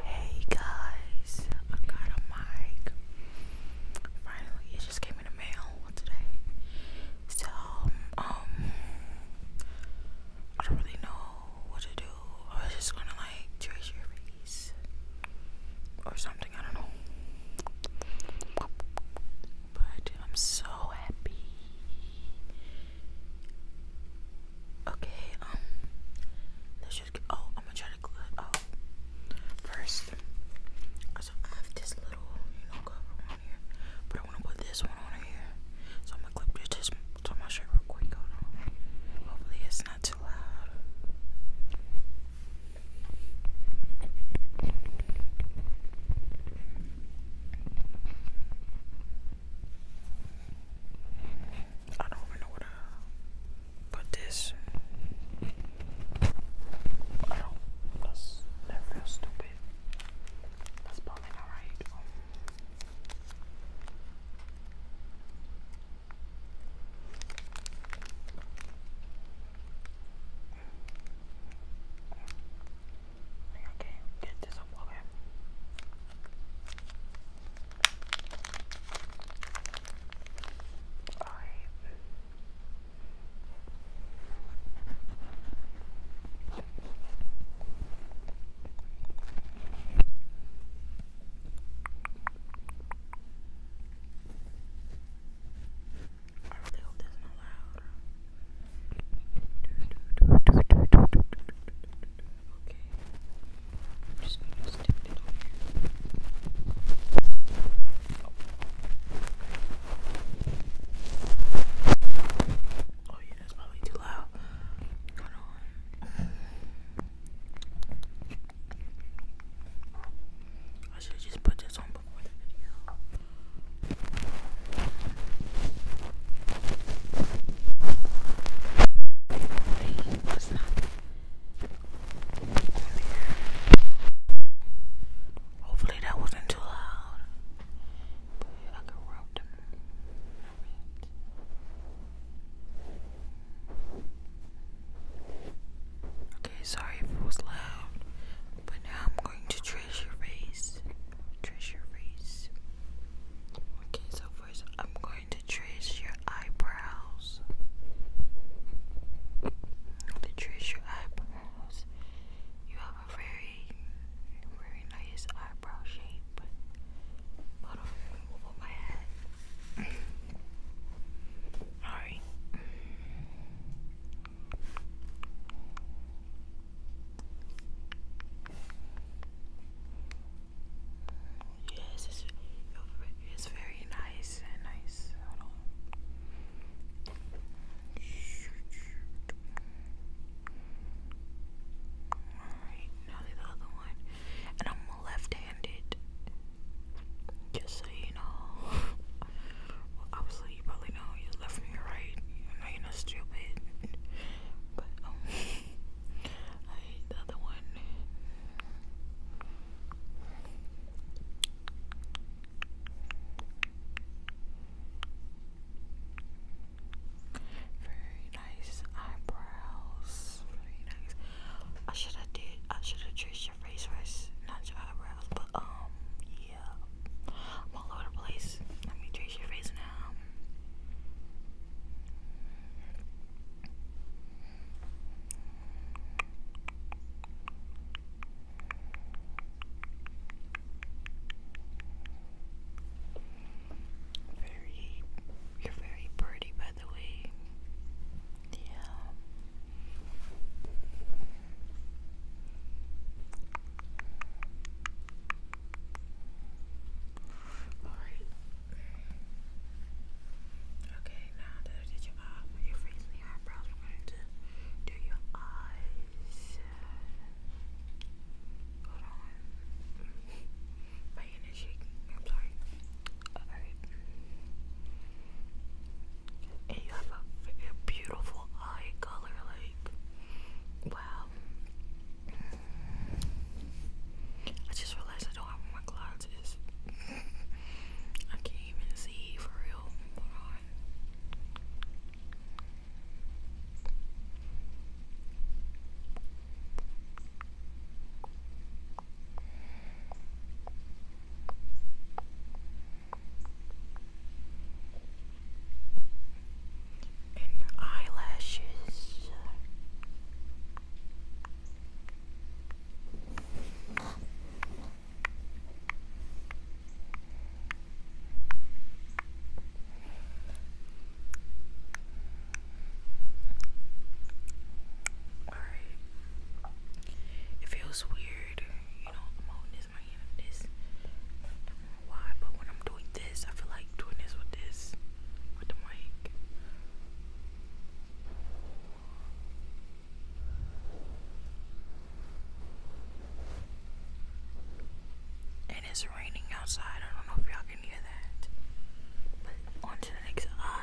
Hey guys, I got a mic. Finally, it just came in the mail today. So, um, I don't really know what to do. I was just gonna like trace your face or something, I don't know. But I'm so happy Okay, um, let's just oh, I'm gonna try to glue it first. So I have this little, you know, cover on here, but I wanna put this one on here. So I'm gonna clip this to my shirt real quick. Hopefully it's not too loud. I don't even know where to put this. I That's, that feels stupid. That's probably not like I get this up okay. Alright. I really hope this Okay. I'm just going to stick it on here. Oh. oh yeah, that's probably too loud. Hold on. I should just put this on before the video. Wait, what's that? Hopefully that wasn't too loud. Okay, sorry if it was loud, but now I'm going to trace your trace your face. Okay, so first I'm going to trace your eyebrows. To trace your eyebrows, you have a very, very nice eyebrow shape. Hold on, my head. Alright. Yes, it's, very nice and nice. Alright, now the other one. And I'm left handed. Just so you know. well, obviously, you probably know you left me right. You know, you're not stupid. But, um, I hate other one. Very nice eyebrows. Very nice. I should have did. I should have traced your face first, not your eyebrows. But um, yeah, all over the place. Let me trace your face now. Very, you're very pretty, by the way. Yeah. Alright. Okay, now that I did your eye, your face your eyebrows, we do your eyes. Hold on. My hand is shaking. I'm sorry. Alright. And you have a beautiful eye color, like, wow. I just realized I don't have my glasses. I can't even see for real and eyelashes. Alright. It feels weird, you know, I'm holding this my hand. This why, but when I'm doing this, I feel like doing this with this, with the mic. And it's raining outside. I don't know if y'all can hear that. But on to the next eye.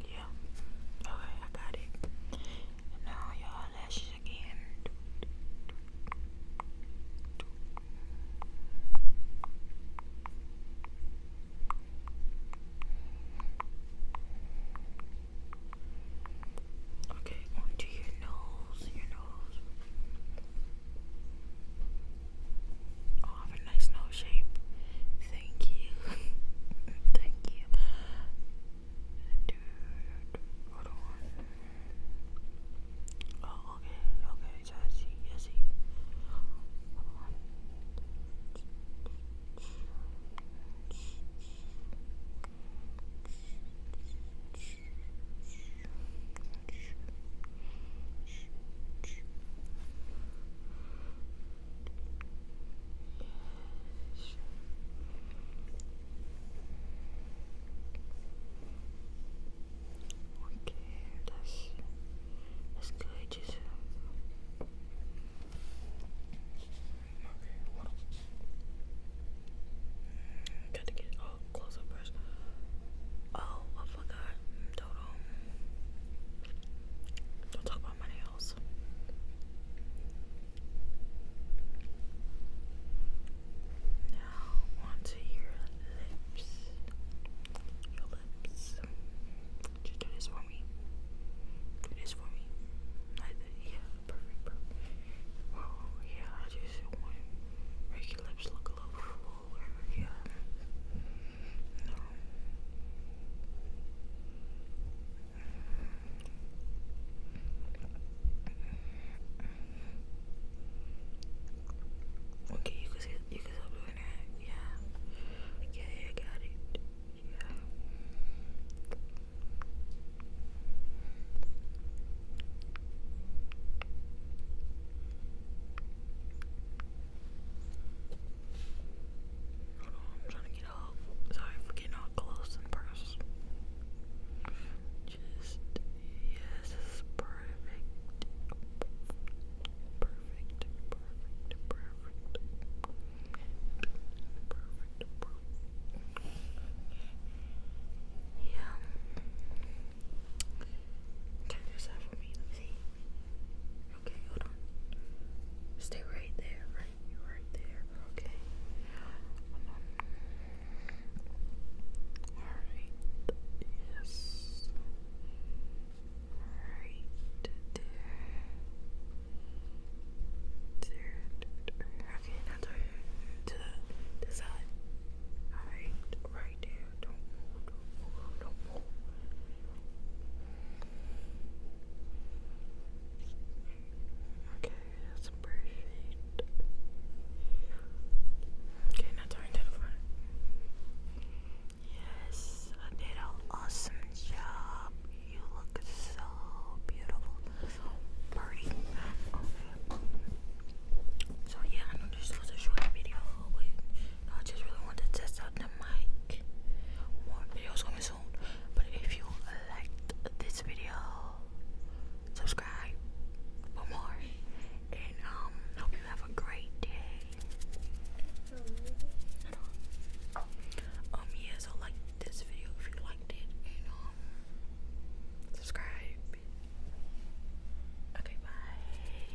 Yeah. Okay, I got it. And now your eyelashes again. Okay, onto your nose, your nose. Oh, have a nice nose shape. Thank you. Thank you. Oh, okay, okay, so I Okay, that's that's good. Just mm, Got to get all close up first. Oh, I oh forgot don't talk about my nails. Now onto your lips. Your lips. Just do this for me. Do this for me. Yeah, perfect, perfect. yeah, I just want make your lips look a little fuller. Yeah. Okay, you can you can stop doing that. Yeah, yeah, I got it. Yeah. I'm trying to get up. Sorry for getting all close and personal. Just, yes, this is perfect. Perfect, perfect, perfect. Perfect, perfect. Yeah. Can you do for me? Okay, hold on. Stay right there, right? You're right there. Okay. Alright. Yes. Right there. Okay, now to the, the side. Alright, right there. don't move. Okay, that's perfect. Okay, now turn to the Yes, I did an awesome job. You look so beautiful, pretty. Okay. So yeah, I know this was a short video, I just really want to test out the mic. More videos coming soon. But if you liked this video, subscribe for more. And um, hope you have a great day. Um, yeah, like this video if you liked it, and um, subscribe. Okay, bye.